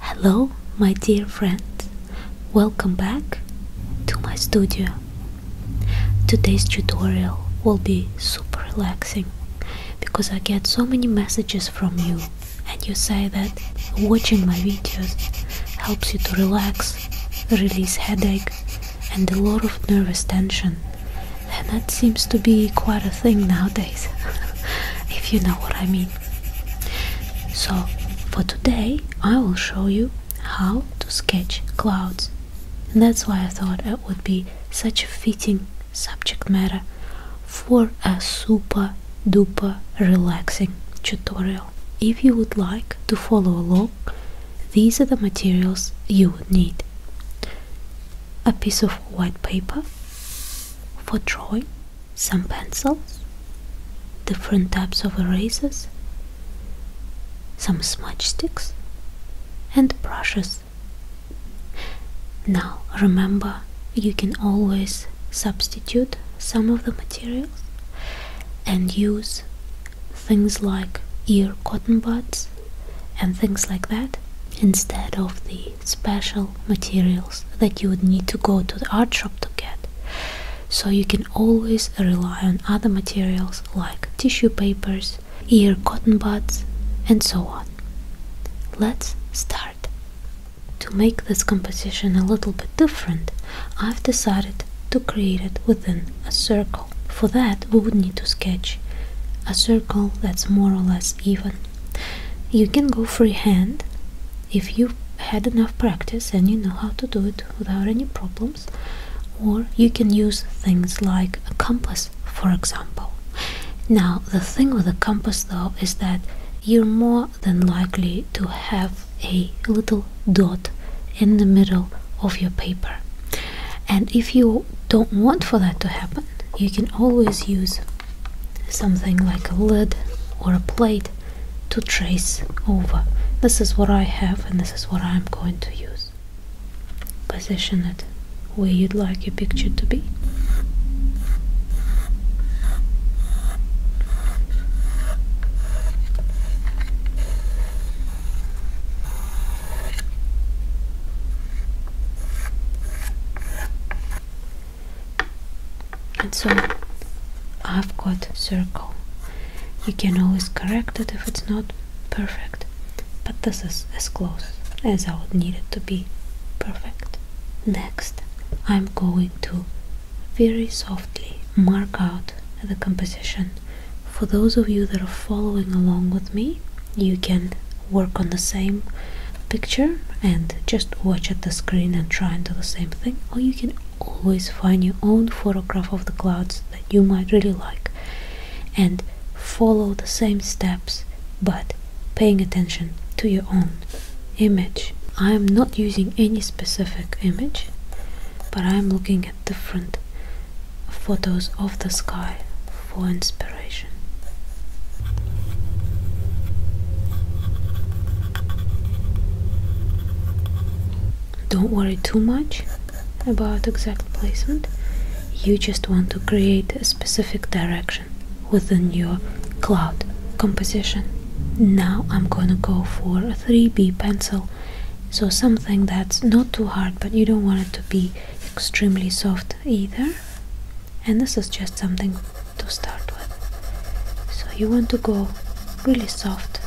Hello, my dear friends. Welcome back to my studio. Today's tutorial will be super relaxing because I get so many messages from you and you say that watching my videos helps you to relax, release headache and a lot of nervous tension. And that seems to be quite a thing nowadays, if you know what I mean. So for today I will show you how to sketch clouds and that's why I thought it would be such a fitting subject matter for a super duper relaxing tutorial. If you would like to follow along, these are the materials you would need. A piece of white paper for drawing some pencils, different types of erasers, some smudge sticks, and brushes. Now remember, you can always substitute some of the materials and use things like ear cotton buds and things like that instead of the special materials that you would need to go to the art shop to get. So you can always rely on other materials like tissue papers, ear cotton buds, and so on. Let's start. To make this composition a little bit different, I've decided to create it within a circle. For that, we would need to sketch a circle that's more or less even you can go freehand if you had enough practice and you know how to do it without any problems, or you can use things like a compass, for example. Now, the thing with a compass though is that you're more than likely to have a little dot in the middle of your paper. And if you don't want for that to happen, you can always use something like a lid or a plate to trace over. This is what I have and this is what I'm going to use. Position it where you'd like your picture to be and so I've got circle you can always correct it if it's not perfect but this is as close as I would need it to be perfect next I'm going to very softly mark out the composition for those of you that are following along with me you can work on the same picture and just watch at the screen and try and do the same thing or you can always find your own photograph of the clouds that you might really like and follow the same steps but paying attention to your own image i am not using any specific image but i am looking at different photos of the sky for inspiration don't worry too much about exact placement. You just want to create a specific direction within your cloud composition. Now I'm gonna go for a 3B pencil. So something that's not too hard, but you don't want it to be extremely soft either. And this is just something to start with. So you want to go really soft.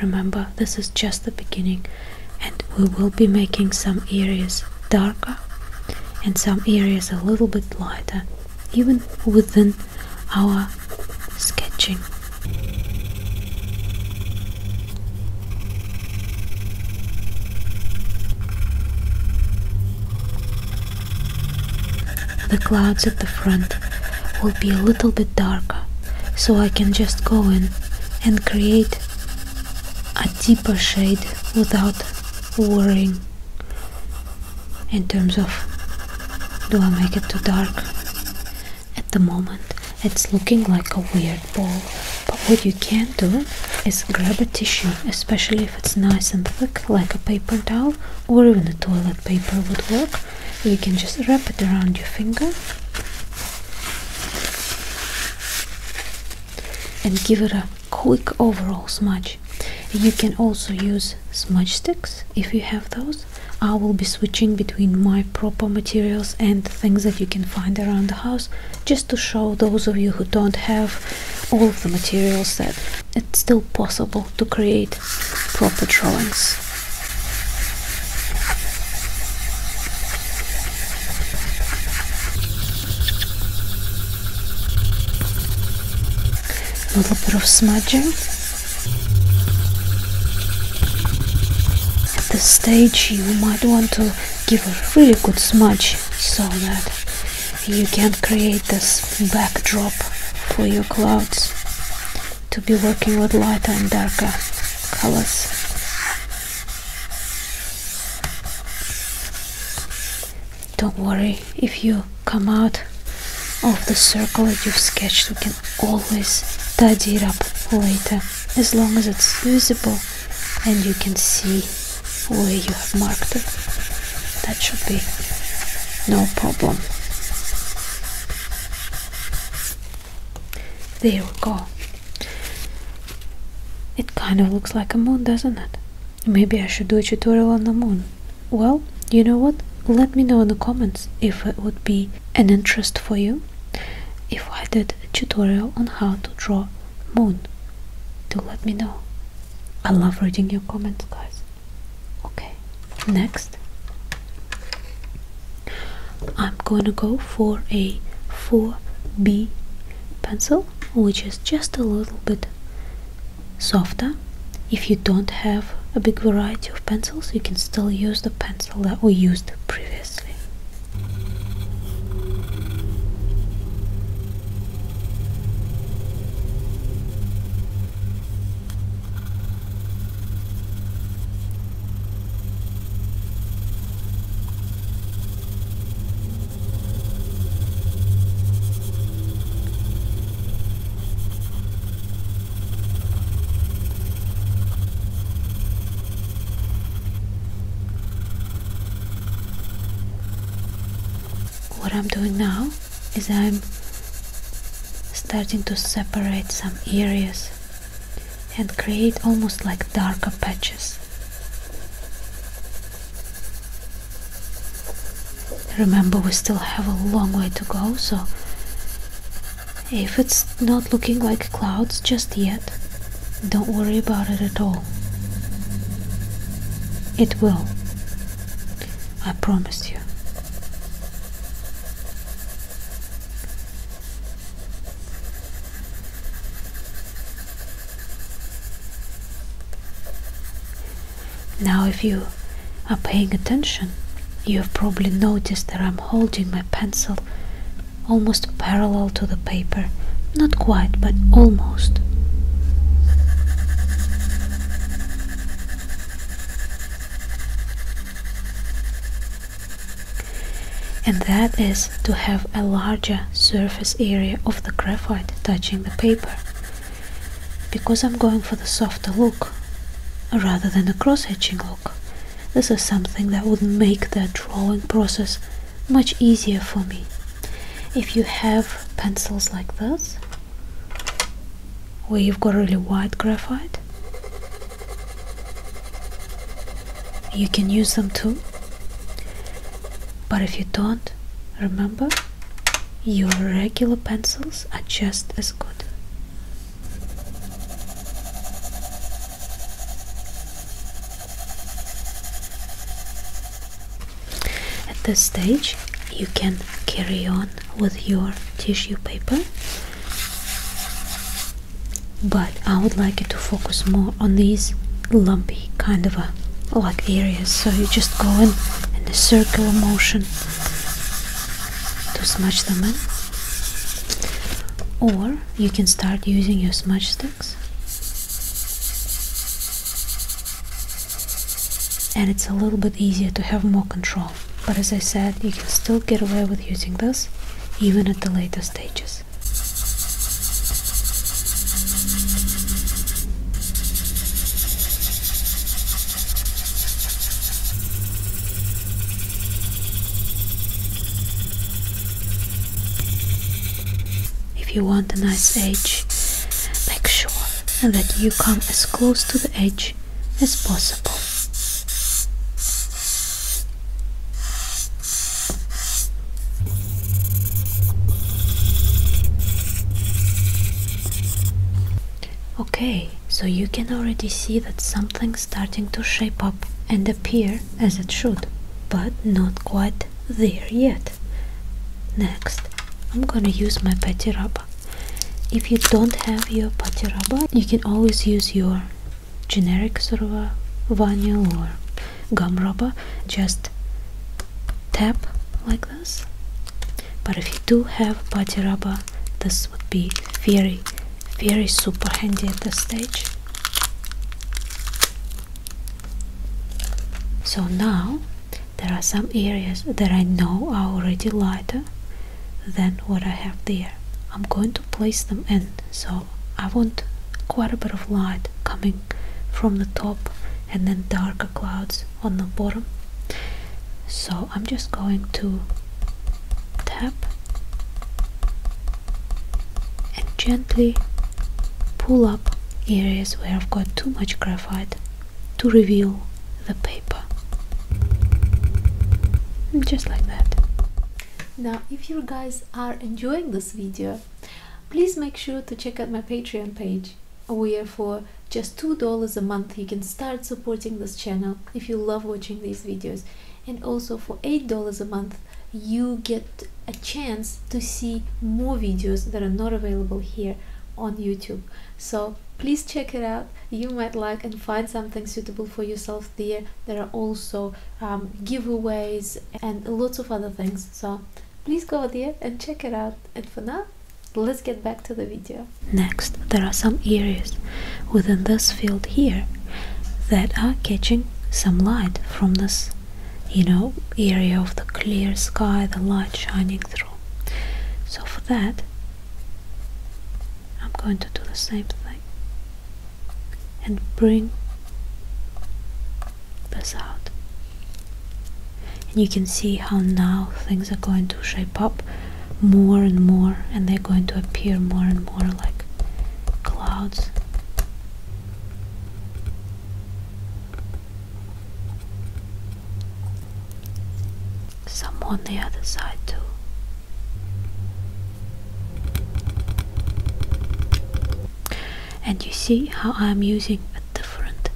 Remember, this is just the beginning and we will be making some areas darker and some areas a little bit lighter even within our sketching. The clouds at the front will be a little bit darker, so I can just go in and create a deeper shade without worrying in terms of do I make it too dark at the moment, it's looking like a weird ball, but what you can do is grab a tissue, especially if it's nice and thick, like a paper towel or even a toilet paper would work. You can just wrap it around your finger and give it a quick overall smudge. You can also use smudge sticks if you have those, I will be switching between my proper materials and things that you can find around the house just to show those of you who don't have all the materials that it's still possible to create proper drawings. A little bit of smudging at this stage you might want to give a really good smudge so that you can create this backdrop for your clouds to be working with lighter and darker colors. Don't worry if you come out of the circle that you've sketched, you can always tidy it up later as long as it's visible and you can see where you have marked it that should be no problem there we go it kind of looks like a moon doesn't it maybe i should do a tutorial on the moon well you know what let me know in the comments if it would be an interest for you if I did a tutorial on how to draw moon do let me know I love reading your comments guys okay next I'm going to go for a 4B pencil which is just a little bit softer if you don't have a big variety of pencils you can still use the pencil that we used previously. What I'm doing now is I'm starting to separate some areas and create almost like darker patches. Remember, we still have a long way to go, so if it's not looking like clouds just yet, don't worry about it at all. It will. I promise you. Now, if you are paying attention, you have probably noticed that I'm holding my pencil, almost parallel to the paper. Not quite, but almost. And that is to have a larger surface area of the graphite touching the paper. Because I'm going for the softer look rather than the cross-hatching look. This is something that would make the drawing process much easier for me. If you have pencils like this, where you've got really wide graphite, you can use them too. But if you don't, remember your regular pencils are just as good. At this stage, you can carry on with your tissue paper, but I would like you to focus more on these lumpy kind of a like areas. So you just go in in a circular motion to smudge them in. Or you can start using your smudge sticks. And it's a little bit easier to have more control. But as I said, you can still get away with using this even at the later stages. If you want a nice edge, make sure that you come as close to the edge as possible. Okay, so you can already see that something's starting to shape up and appear as it should, but not quite there yet. Next, I'm gonna use my patty rubber. If you don't have your patty rubber, you can always use your generic sort of a vinyl or gum rubber. Just tap like this. But if you do have patty rubber, this would be very very super handy at this stage so now there are some areas that I know are already lighter than what I have there I'm going to place them in so I want quite a bit of light coming from the top and then darker clouds on the bottom so I'm just going to tap and gently pull up areas where I've got too much graphite to reveal the paper just like that now if you guys are enjoying this video please make sure to check out my patreon page where for just two dollars a month you can start supporting this channel if you love watching these videos and also for $8 a month you get a chance to see more videos that are not available here on YouTube. So please check it out. You might like and find something suitable for yourself there. There are also um, giveaways and lots of other things. So please go there and check it out. And for now, let's get back to the video. Next, there are some areas within this field here that are catching some light from this, you area of the clear sky, the light shining through. So for that, I'm going to do the same thing and bring this out. And you can see how now things are going to shape up more and more and they're going to appear more and more like clouds some on the other side too and you see how I'm using a different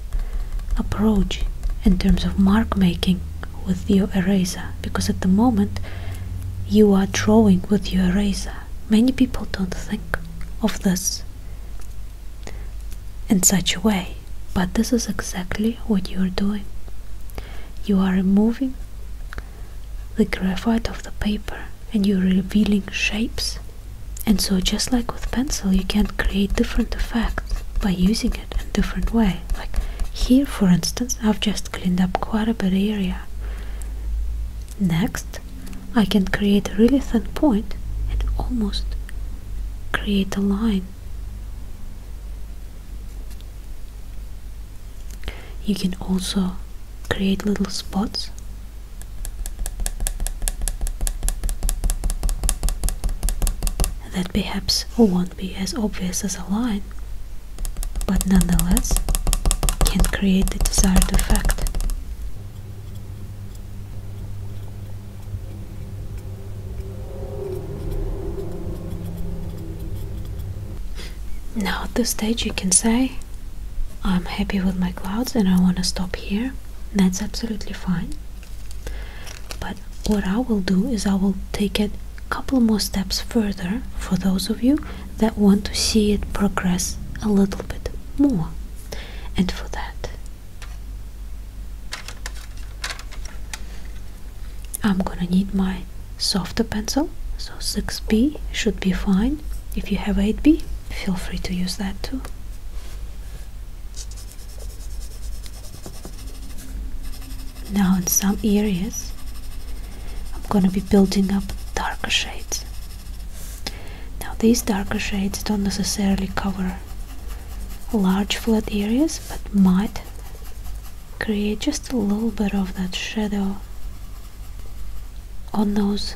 approach in terms of mark making with your eraser because at the moment you are drawing with your eraser. Many people don't think of this in such a way, but this is exactly what you are doing. You are removing the graphite of the paper and you're revealing shapes. And so, just like with pencil, you can create different effects by using it in different way. Like here, for instance, I've just cleaned up quite a bit area. Next, I can create a really thin point and almost create a line. You can also create little spots that perhaps won't be as obvious as a line, but nonetheless can create the desired effect. Now at this stage you can say, I'm happy with my clouds and I want to stop here. That's absolutely fine. But what I will do is I will take it couple more steps further for those of you that want to see it progress a little bit more. And for that, I'm gonna need my softer pencil. So 6B should be fine. If you have 8B, feel free to use that too. Now in some areas I'm gonna be building up darker shades. Now these darker shades don't necessarily cover large flat areas but might create just a little bit of that shadow on those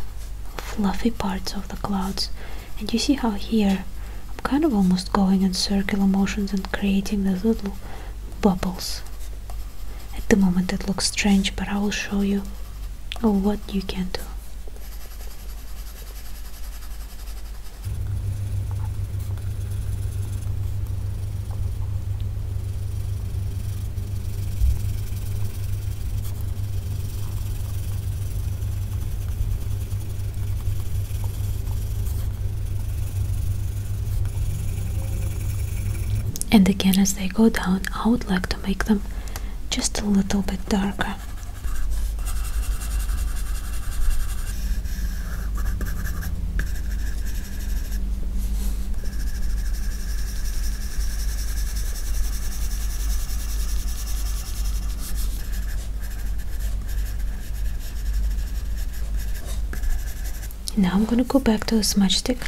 fluffy parts of the clouds and you see how here I'm kind of almost going in circular motions and creating this little bubbles at the moment it looks strange but I will show you what you can do and again as they go down, I would like to make them just a little bit darker now I'm gonna go back to the smudge stick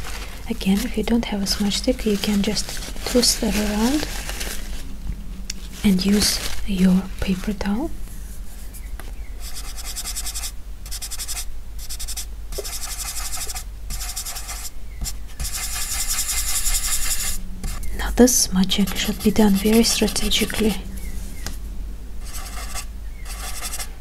again if you don't have a smudge stick you can just twist it around and use your paper towel now this smudging should be done very strategically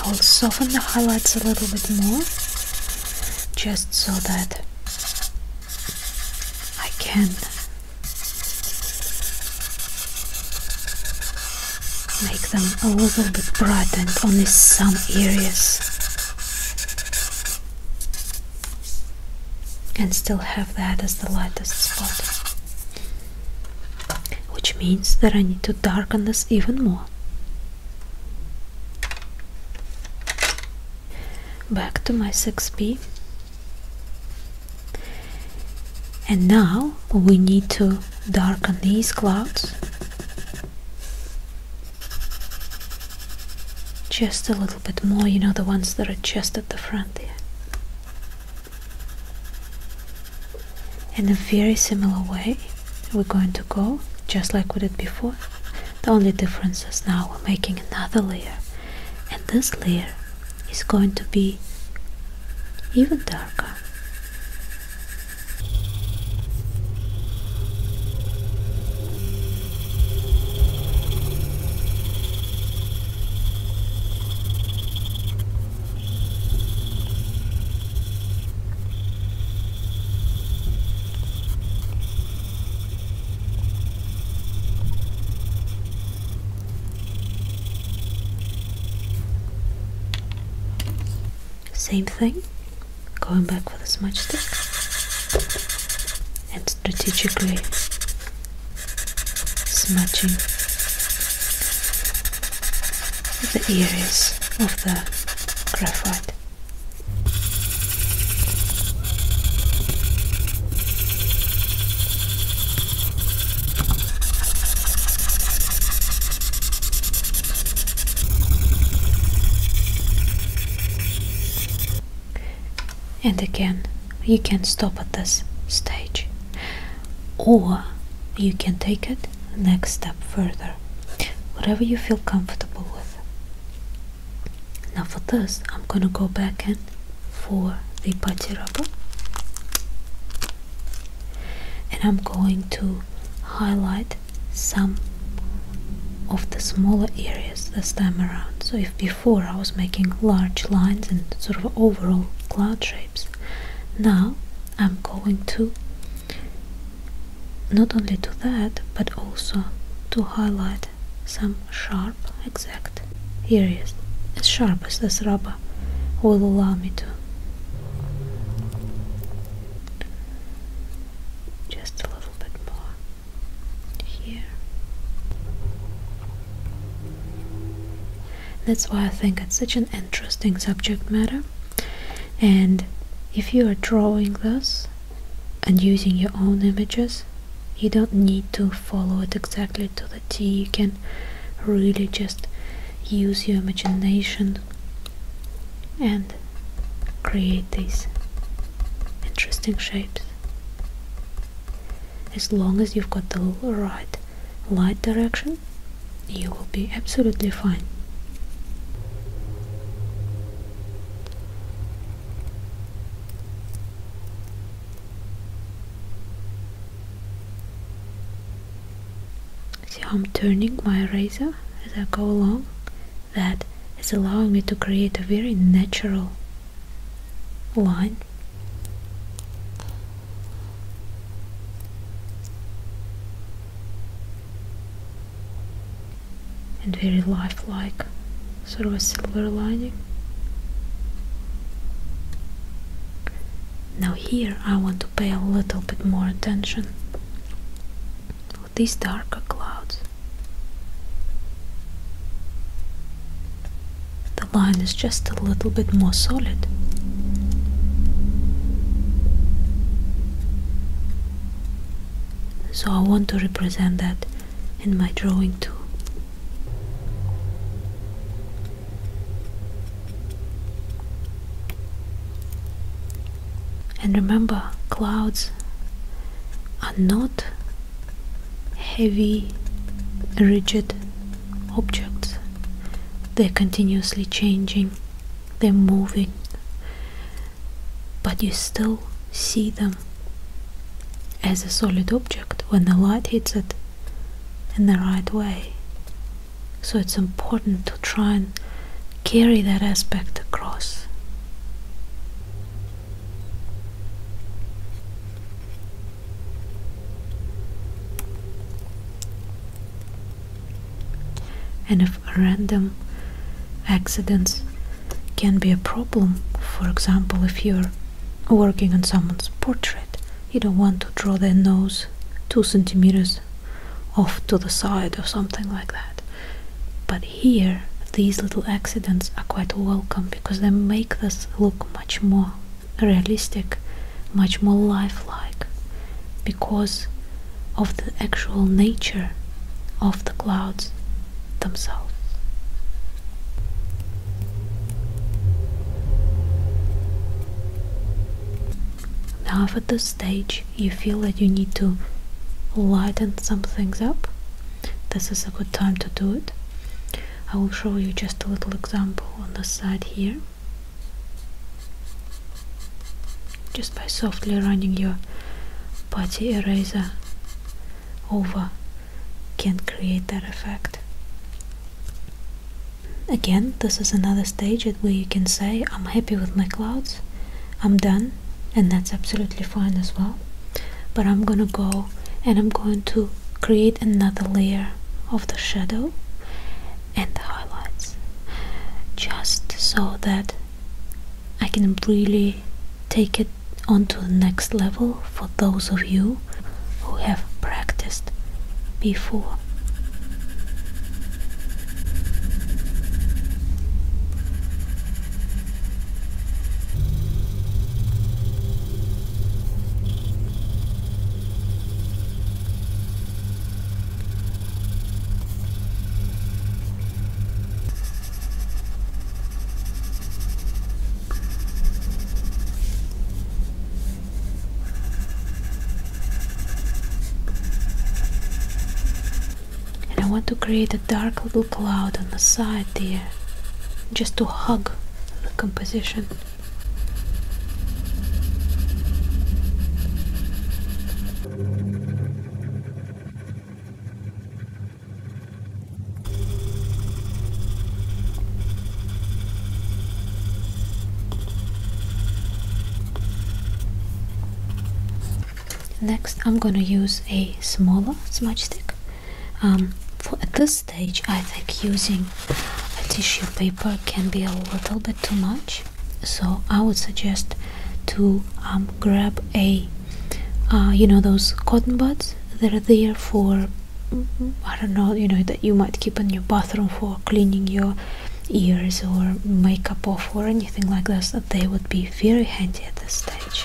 I will soften the highlights a little bit more just so that I can make them a little bit brightened only some areas and still have that as the lightest spot. Which means that I need to darken this even more. Back to my 6B. And now we need to darken these clouds just a little bit more, you know, the ones that are just at the front there. In a very similar way, we're going to go just like we did before. The only difference is now we're making another layer, and this layer is going to be even darker. Same thing, going back with the smudge stick and strategically smudging the areas of the graphite. And again, you can stop at this stage, or you can take it next step further, whatever you feel comfortable with. Now, for this, I'm gonna go back in for the putty rubber, and I'm going to highlight some of the smaller areas this time around. So, if before before I was making large lines and sort of overall cloud shapes now I'm going to not only to that but also to highlight some sharp exact areas as sharp as this rubber will allow me to just a little bit more here that's why I think it's such an interesting subject matter. And if you are drawing this and using your own images, you don't need to follow it exactly to the T. You can really just use your imagination and create these interesting shapes. As long as you've got the right light direction, you will be absolutely fine. See how I'm turning my razor as I go along? That is allowing me to create a very natural line and very lifelike sort of a silver lining now here I want to pay a little bit more attention to these darker clouds the line is just a little bit more solid. So I want to represent that in my drawing too. And remember, clouds are not heavy, rigid objects. They're continuously changing, they're moving, but you still see them as a solid object when the light hits it in the right way. So it's important to try and carry that aspect across. And if random accidents can be a problem, for example, if you're working on someone's portrait, you don't want to draw their nose two centimeters off to the side or something like that. But here, these little accidents are quite welcome because they make this look much more realistic, much more lifelike because of the actual nature of the clouds themselves. Now, if at this stage you feel that you need to lighten some things up, this is a good time to do it. I will show you just a little example on the side here just by softly running your putty eraser over can create that effect again this is another stage at where you can say I'm happy with my clouds I'm done and that's absolutely fine as well but I'm gonna go and I'm going to create another layer of the shadow and the highlights just so that I can really take it onto the next level for those of you who have practiced before. And I want to create a dark little cloud on the side there, just to hug composition. Next I'm gonna use a smaller smudge stick um, at this stage, I think using a tissue paper can be a little bit too much, so I would suggest to um, grab a uh, you know those cotton buds that are there for I don't know you know that you might keep in your bathroom for cleaning your ears or makeup off or anything like this. That they would be very handy at this stage.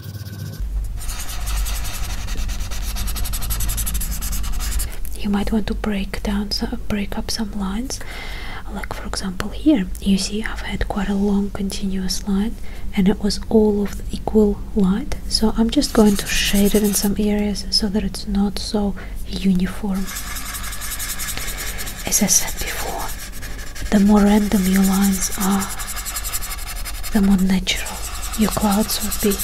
You might want to break down, break up some lines. Like for example here, you see I've had quite a long continuous line and it was all of equal light. So I'm just going to shade it in some areas so that it's not so uniform. As I said before, the more random your lines are, the more natural your clouds would be.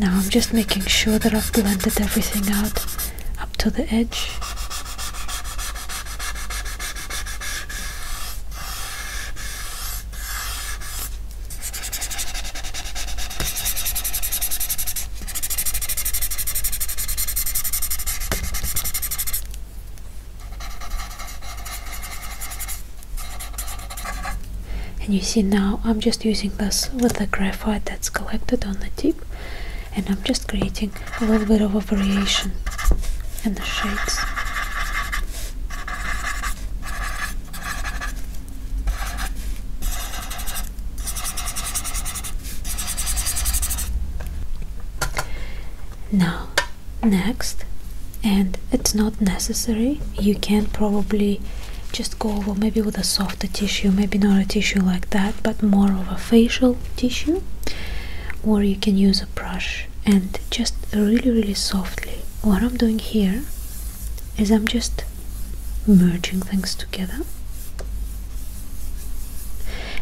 Now I'm just making sure that I've blended everything out up to the edge and you see now I'm just using this with the graphite that's collected on the tip and I'm just creating a little bit of a variation in the shades now, next, and it's not necessary, you can probably just go over maybe with a softer tissue, maybe not a tissue like that, but more of a facial tissue, or you can use a brush and just really, really softly. What I'm doing here is I'm just merging things together.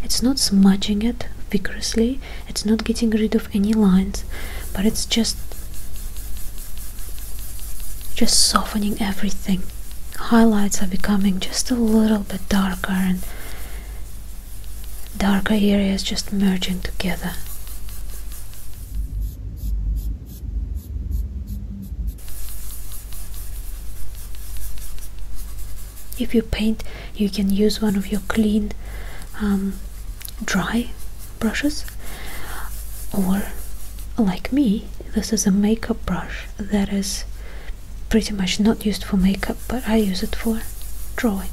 It's not smudging it vigorously, it's not getting rid of any lines, but it's just just softening everything. Highlights are becoming just a little bit darker and darker areas just merging together. If you paint, you can use one of your clean um, dry brushes or like me this is a makeup brush that is pretty much not used for makeup but I use it for drawing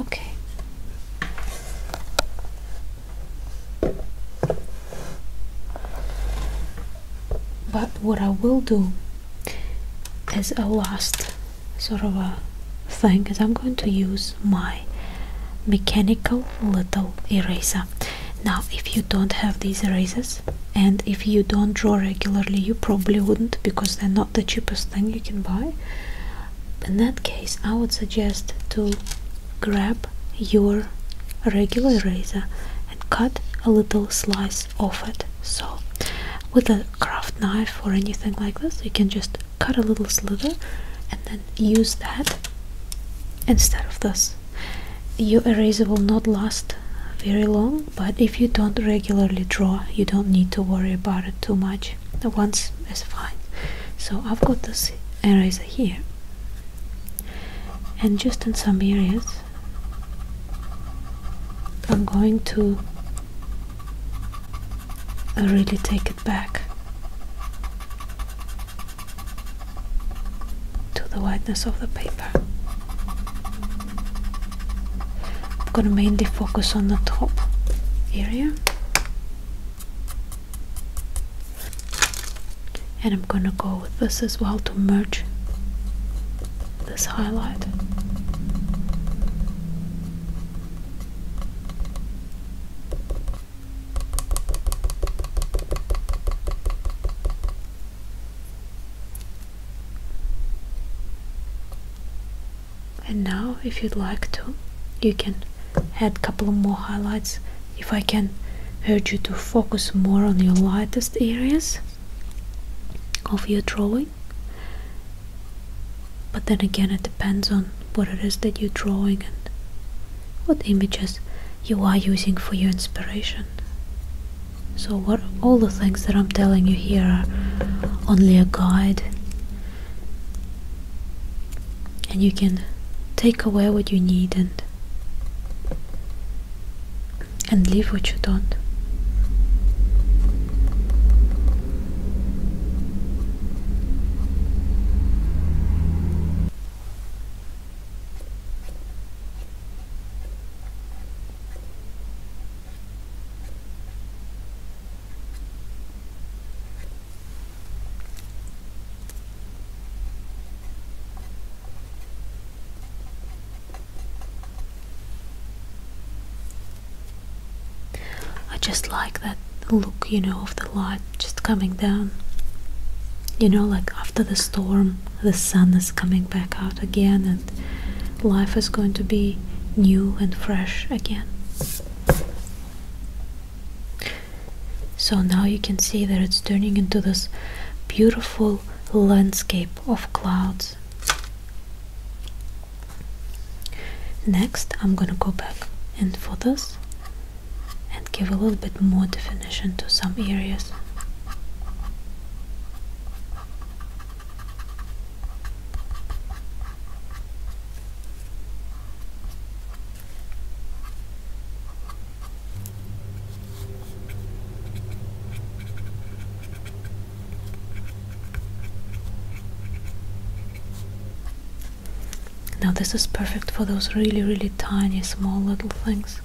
Okay. But what I will do as a last sort of a thing is I'm going to use my mechanical little eraser. Now if you don't have these erasers and if you don't draw regularly you probably wouldn't because they're not the cheapest thing you can buy in that case i would suggest to grab your regular eraser and cut a little slice off it so with a craft knife or anything like this you can just cut a little sliver and then use that instead of this your eraser will not last very long but if you don't regularly draw you don't need to worry about it too much the ones is fine so I've got this eraser here and just in some areas I'm going to really take it back to the whiteness of the paper I'm gonna mainly focus on the top area and I'm gonna go with this as well to merge this highlight and now if you'd like to you can add a couple more highlights if I can urge you to focus more on your lightest areas of your drawing but then again it depends on what it is that you're drawing and what images you are using for your inspiration so all the things that I'm telling you here are only a guide and you can take away what you need and and leave what you don't I just like that look, you know, of the light just coming down. You know, like after the storm, the sun is coming back out again, and life is going to be new and fresh again. So now you can see that it's turning into this beautiful landscape of clouds. Next, I'm gonna go back in photos and give a little bit more definition to some areas. Now this is perfect for those really really tiny small little things.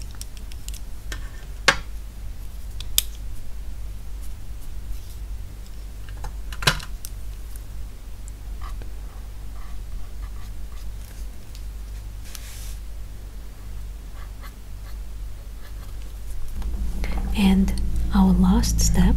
And our last step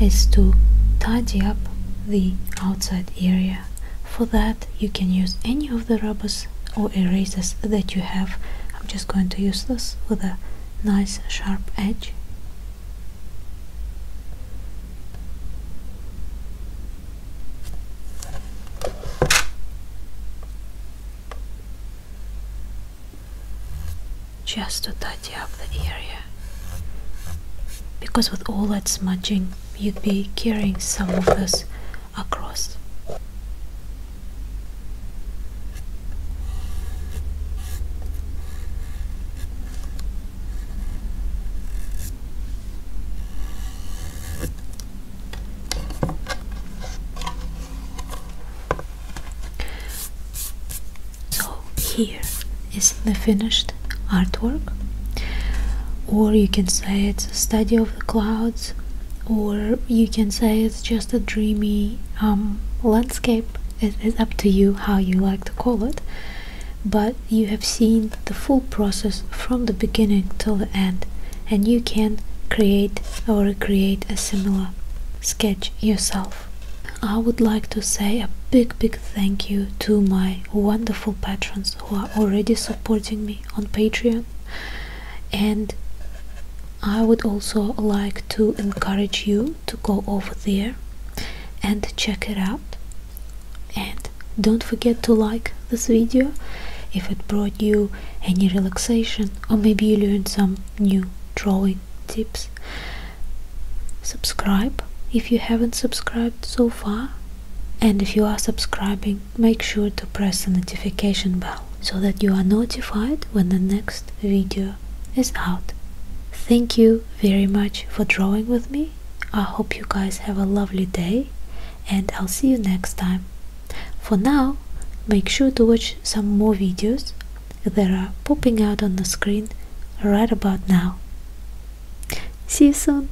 is to tidy up the outside area. For that you can use any of the rubbers or erasers that you have. I'm just going to use this with a nice sharp edge just to tidy up the area because with all that smudging you'd be carrying some of us across so here is the finished artwork or you can say it's a study of the clouds or you can say it's just a dreamy um, landscape it is up to you how you like to call it but you have seen the full process from the beginning till the end and you can create or create a similar sketch yourself I would like to say a big big thank you to my wonderful patrons who are already supporting me on Patreon and I would also like to encourage you to go over there and check it out and don't forget to like this video if it brought you any relaxation or maybe you learned some new drawing tips subscribe if you haven't subscribed so far and if you are subscribing make sure to press the notification bell so that you are notified when the next video is out. Thank you very much for drawing with me. I hope you guys have a lovely day and I'll see you next time. For now, make sure to watch some more videos that are popping out on the screen right about now. See you soon!